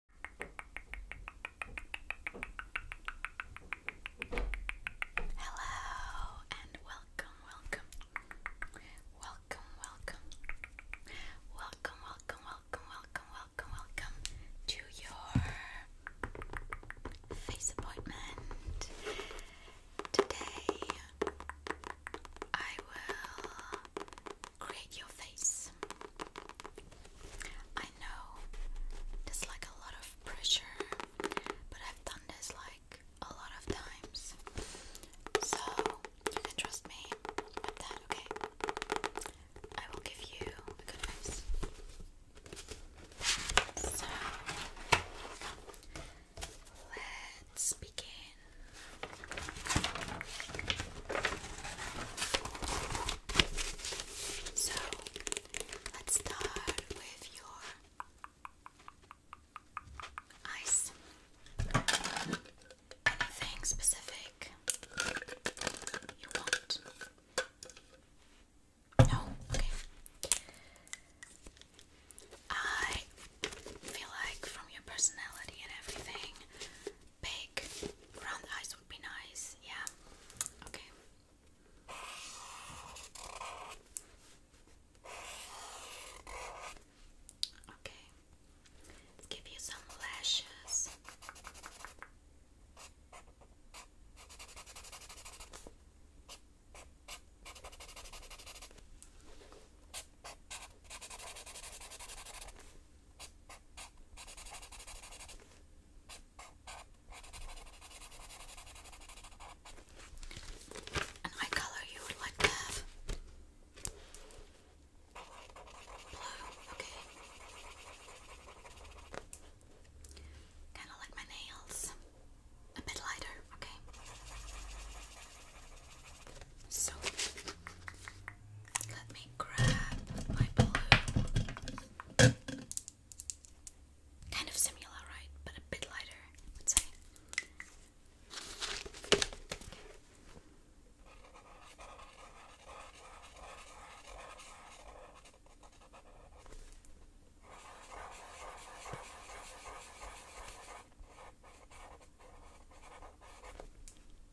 Hello and welcome, welcome, welcome, welcome, welcome, welcome, welcome, welcome, welcome, welcome to your face appointment. Today I will create your face. I know there's like a lot of pressure, but I've done this like a lot of times. So you can trust me okay? I will give you a good advice. So let's begin. So let's start with your eyes. Anything specific you want? No? Okay. I feel like from your personality and everything, big round eyes would be nice. Yeah. Okay. Okay. Let's give you some lashes. And my color you would like Blue, okay. Kinda like my nails. A bit lighter, okay. So let me grab my blue. Kind of similar, right? But a bit lighter,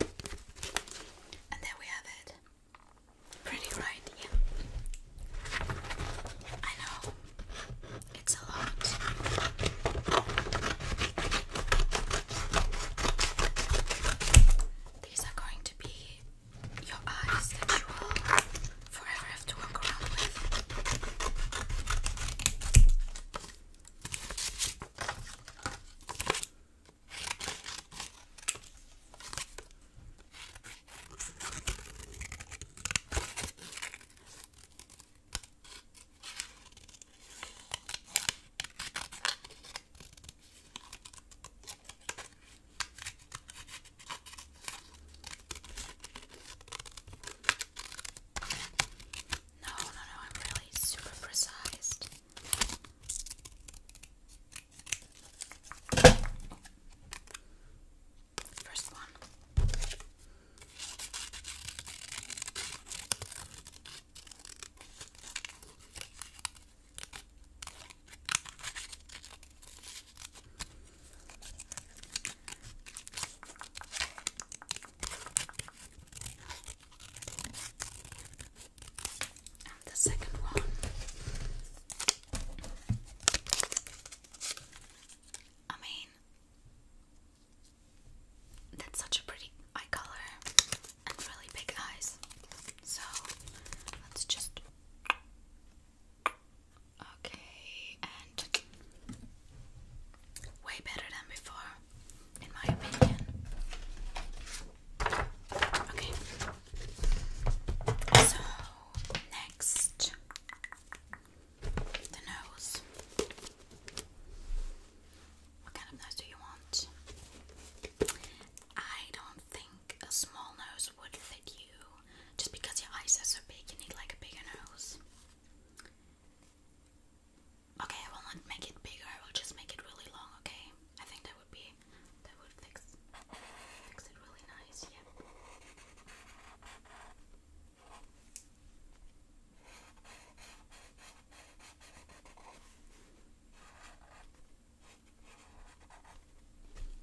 And there we have it. Pretty right, I know it's a lot. These are going to be your eyes that you will forever have to walk around with. No, no, no, I'm really super precise. First one the second one I mean that's such a pretty eye color and really big eyes. So let's just Okay and way better than before in my opinion. Okay. So next the nose. What kind of nose do you want? I don't think a small nose would fit you. Just because your eyes are so big, you need like a bigger nose. Okay, I will not make it bigger. I will just make it really long. Okay, I think that would be that would fix fix it really nice. Yeah.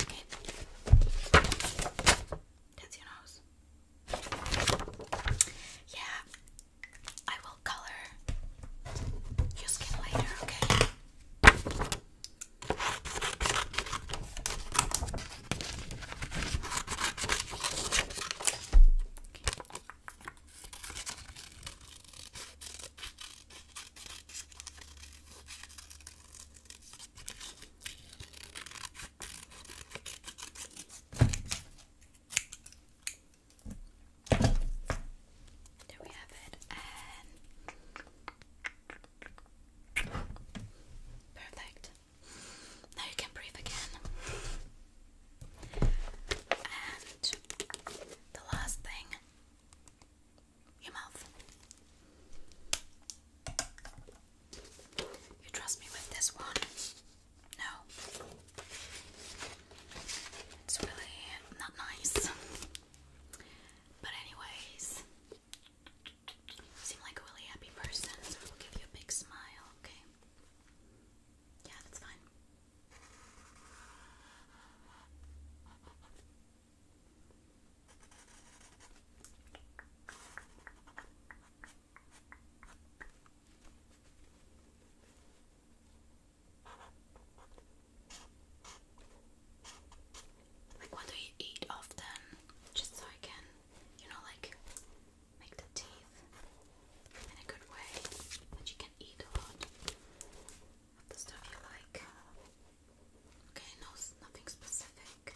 Okay. That's your nose. Yeah, I will color your skin lighter, Okay. There we have it, perfect. Now you can breathe again. And the last thing your mouth. You trust me with this one. No. It's really not nice. But anyways, seem like a really happy person, so we'll give you a big smile, okay? Yeah, that's fine. Like, what do you eat often? Just so I can, you know, like make the teeth in a good way that you can eat a lot of the stuff you like. Okay, no, nothing specific.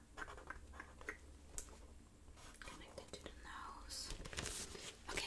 Connect it to the nose. Okay.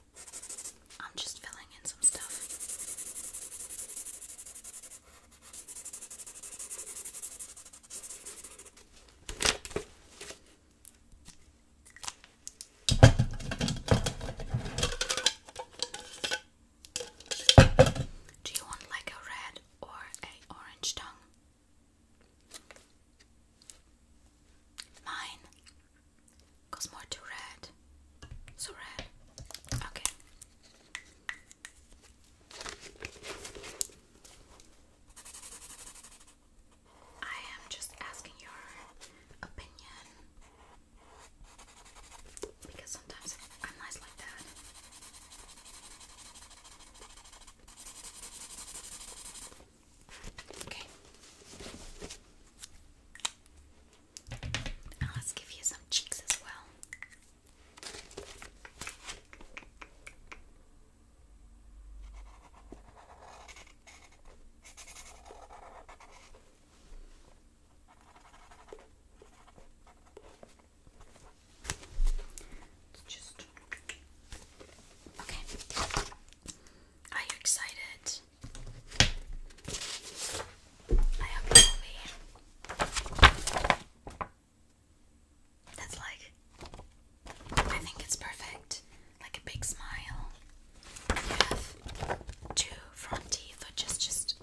I'm just filling in some stuff. Do you want like a red or a orange tongue? Mine Cause more too red. So red. Okay. I am just asking your opinion because sometimes I'm nice like that. Okay. And let's give you some cheeks as well. It's just okay. Are you excited? I That's like, I think it's perfect. Like a big smile. you have two front teeth, which is just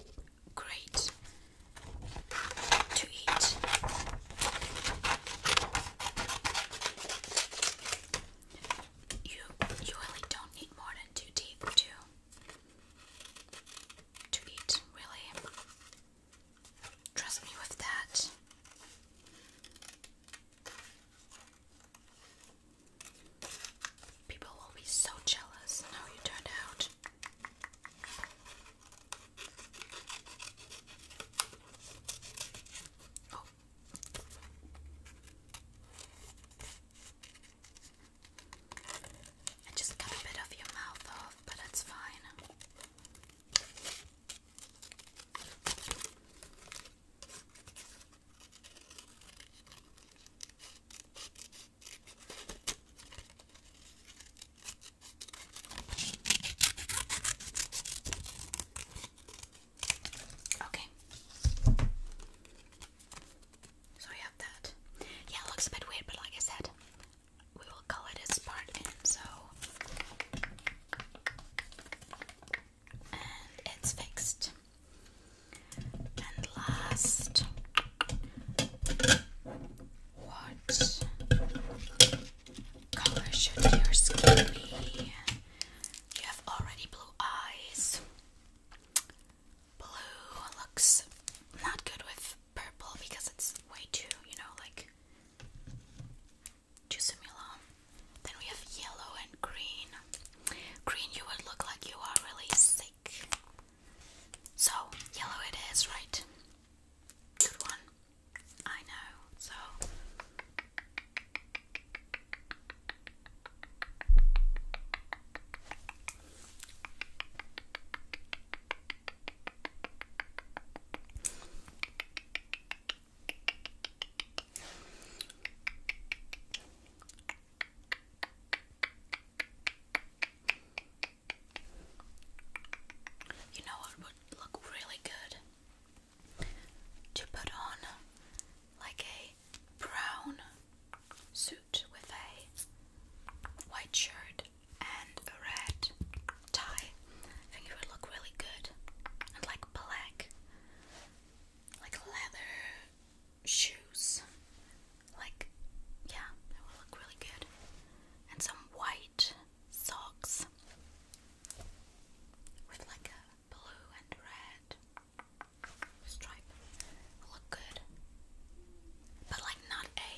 great to eat you you really don't need more than two teeth to to eat, really. Trust me with that. People will be so jealous how you turned out. Oh, I just got a bit of your mouth off, but it's fine. Okay. So we have that. Yeah, it looks a bit weird, but like I said, we will call it a Spartan, so. it's fixed. And last, what color should your skin be? You have already blue eyes. Blue looks not good with purple because it's way too, you know, like too similar. Then we have yellow and green. Green, you would look like you are really sick. So, yellow it is, right? Good one. I know. So, you know what would look really good to put on like a brown suit with a white shirt and a red tie. I think it would look really good. And like black, like leather shoes. Like, yeah, it would look really good. And some white socks with like a blue and red stripe look good, but like not a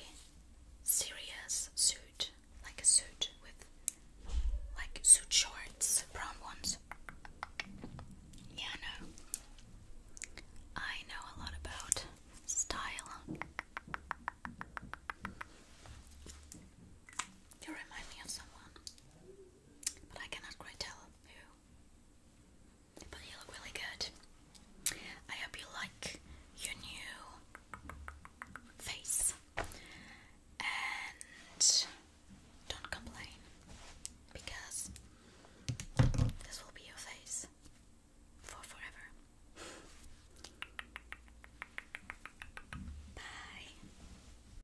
serious suit, like a suit with like suit shorts, brown ones. Yeah, no, I know a lot about style. You remind me of someone but I cannot quite tell who. But you look really good. I hope you like your new face. And don't complain because this will be your face for forever. Bye.